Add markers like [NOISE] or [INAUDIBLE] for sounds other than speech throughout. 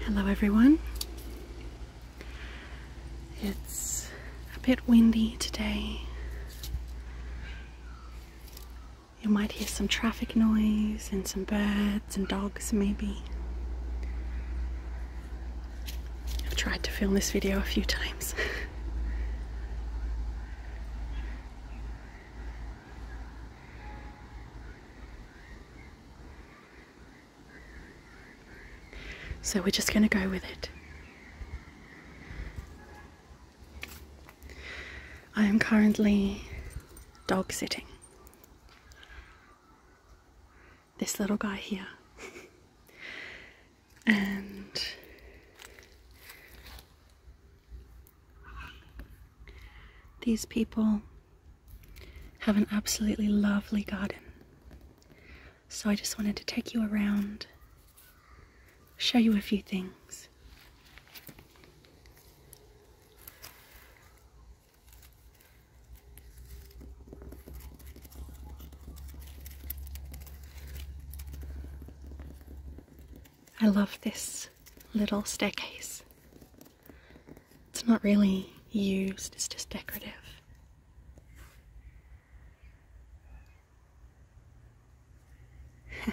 Hello everyone. It's a bit windy today. You might hear some traffic noise and some birds and dogs maybe. I've tried to film this video a few times. [LAUGHS] So we're just going to go with it. I am currently dog sitting. This little guy here. [LAUGHS] and these people have an absolutely lovely garden. So I just wanted to take you around, show you a few things. I love this little staircase. It's not really used, it's just decorative. [LAUGHS]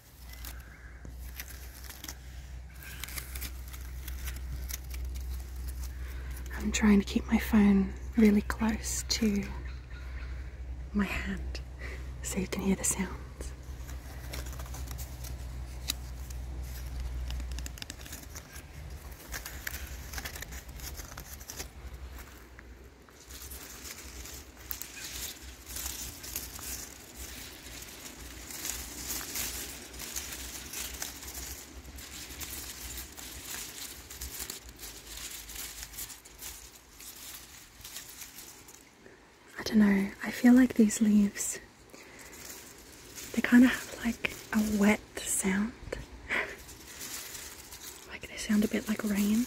I'm trying to keep my phone really close to my hand so you can hear the sounds. I don't know, I feel like these leaves, they kind of have like a wet sound. [LAUGHS] like they sound a bit like rain.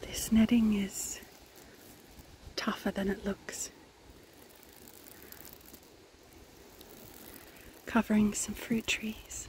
This netting is tougher than it looks covering some fruit trees.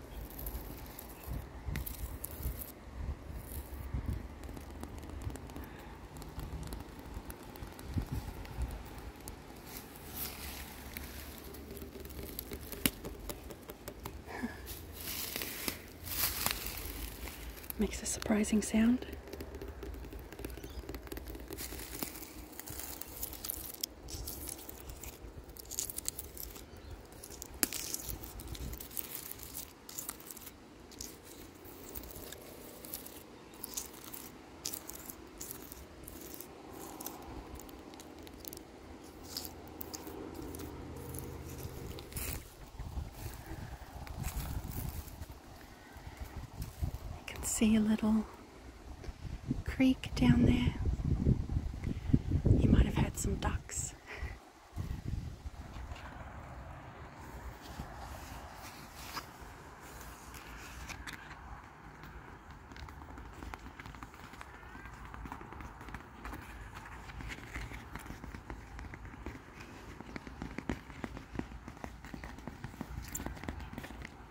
[LAUGHS] Makes a surprising sound can see a little creek down there. You might have had some ducks.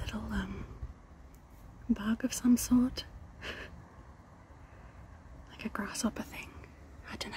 Little um, bug of some sort, [LAUGHS] like a grasshopper thing. I don't know.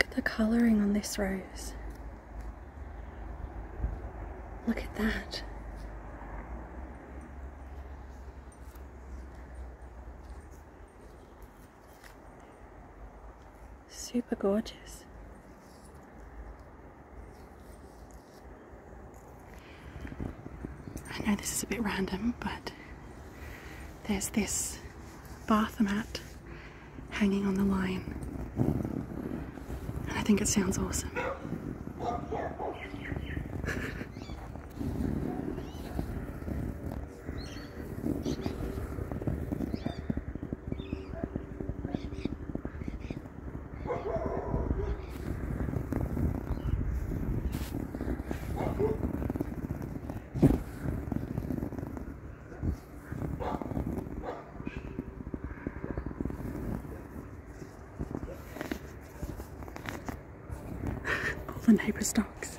Look at the colouring on this rose. Look at that. Super gorgeous. I know this is a bit random, but there's this bath mat hanging on the line. And I think it sounds awesome all the neighbors' dogs.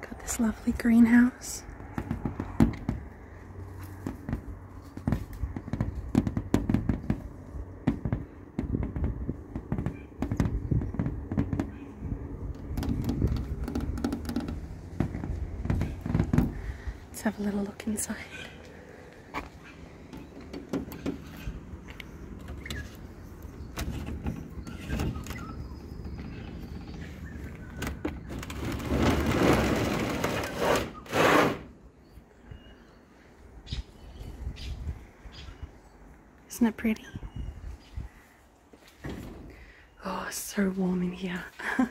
Got this lovely greenhouse. Let's have a little look inside. Isn't it pretty? Oh, so warm in here. [LAUGHS]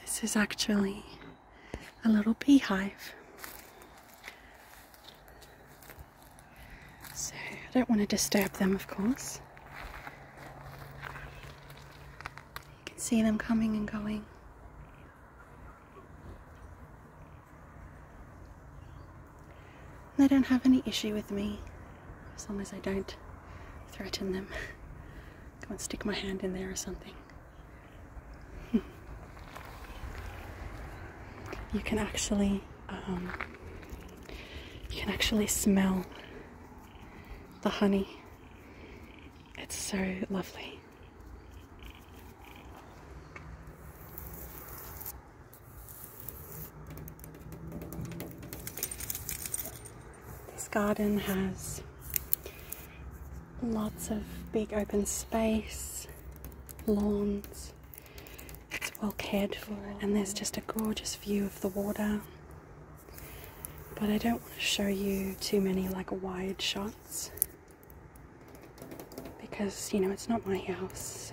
This is actually a little beehive. So I don't want to disturb them, of course. You can see them coming and going. They don't have any issue with me as long as I don't threaten them. Come and stick my hand in there or something. [LAUGHS] you can actually um, you can actually smell the honey. It's so lovely. This garden has lots of big open space, lawns. It's well cared for, and there's just a gorgeous view of the water. But I don't want to show you too many like wide shots because you know it's not my house.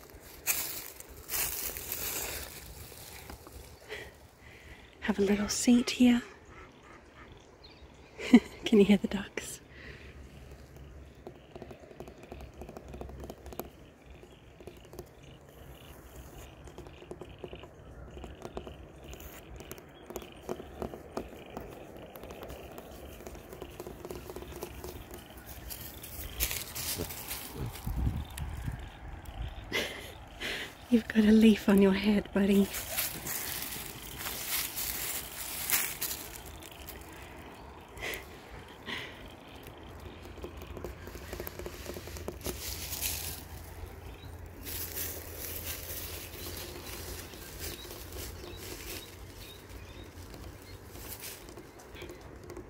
Have a little seat here. [LAUGHS] Can you hear the ducks? You've got a leaf on your head, buddy.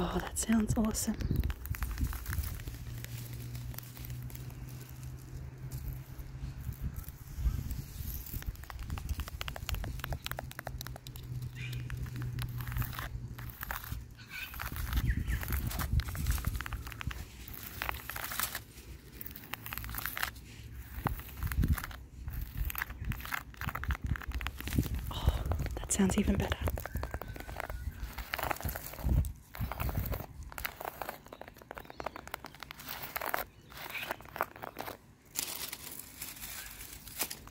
Oh, that sounds awesome. Oh, that sounds even better.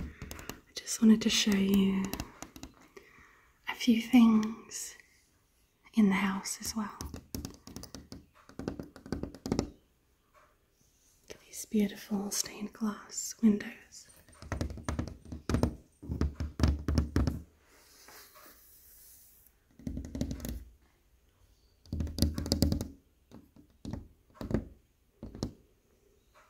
I just wanted to show you a few things in the house as well. These beautiful stained glass windows.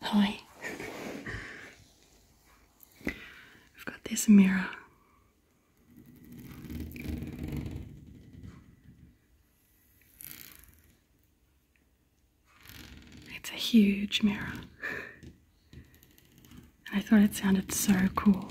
Hi. I've got this mirror it's a huge mirror. and I thought it sounded so cool.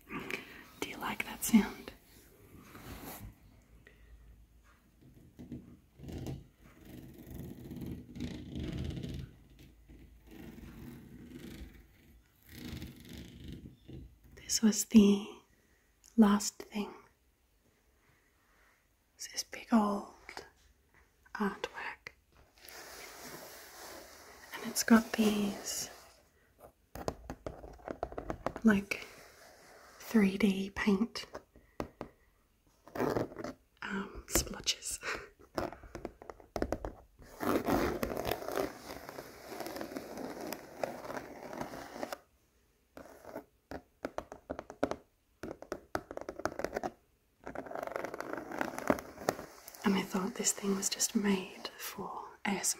Do you like that sound? This was the last thing. this big old artwork and it's got these like 3D paint um, splotches and I thought this thing was just made for ASMR.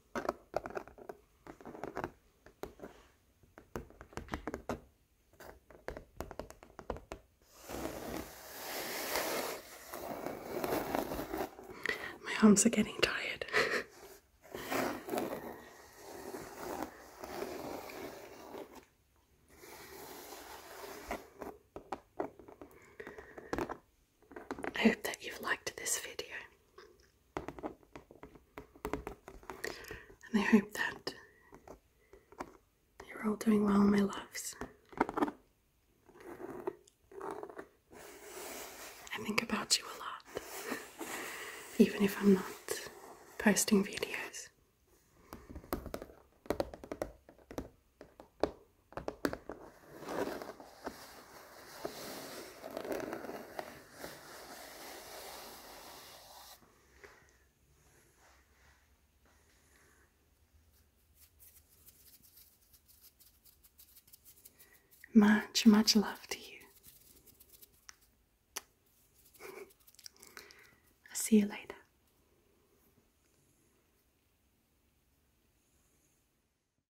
My arms are getting tired. I hope that you've liked this video. And I hope that you're all doing well, my loves. I think about you a lot, even if I'm not posting videos. Much, much love to you. I'll [LAUGHS] see you later.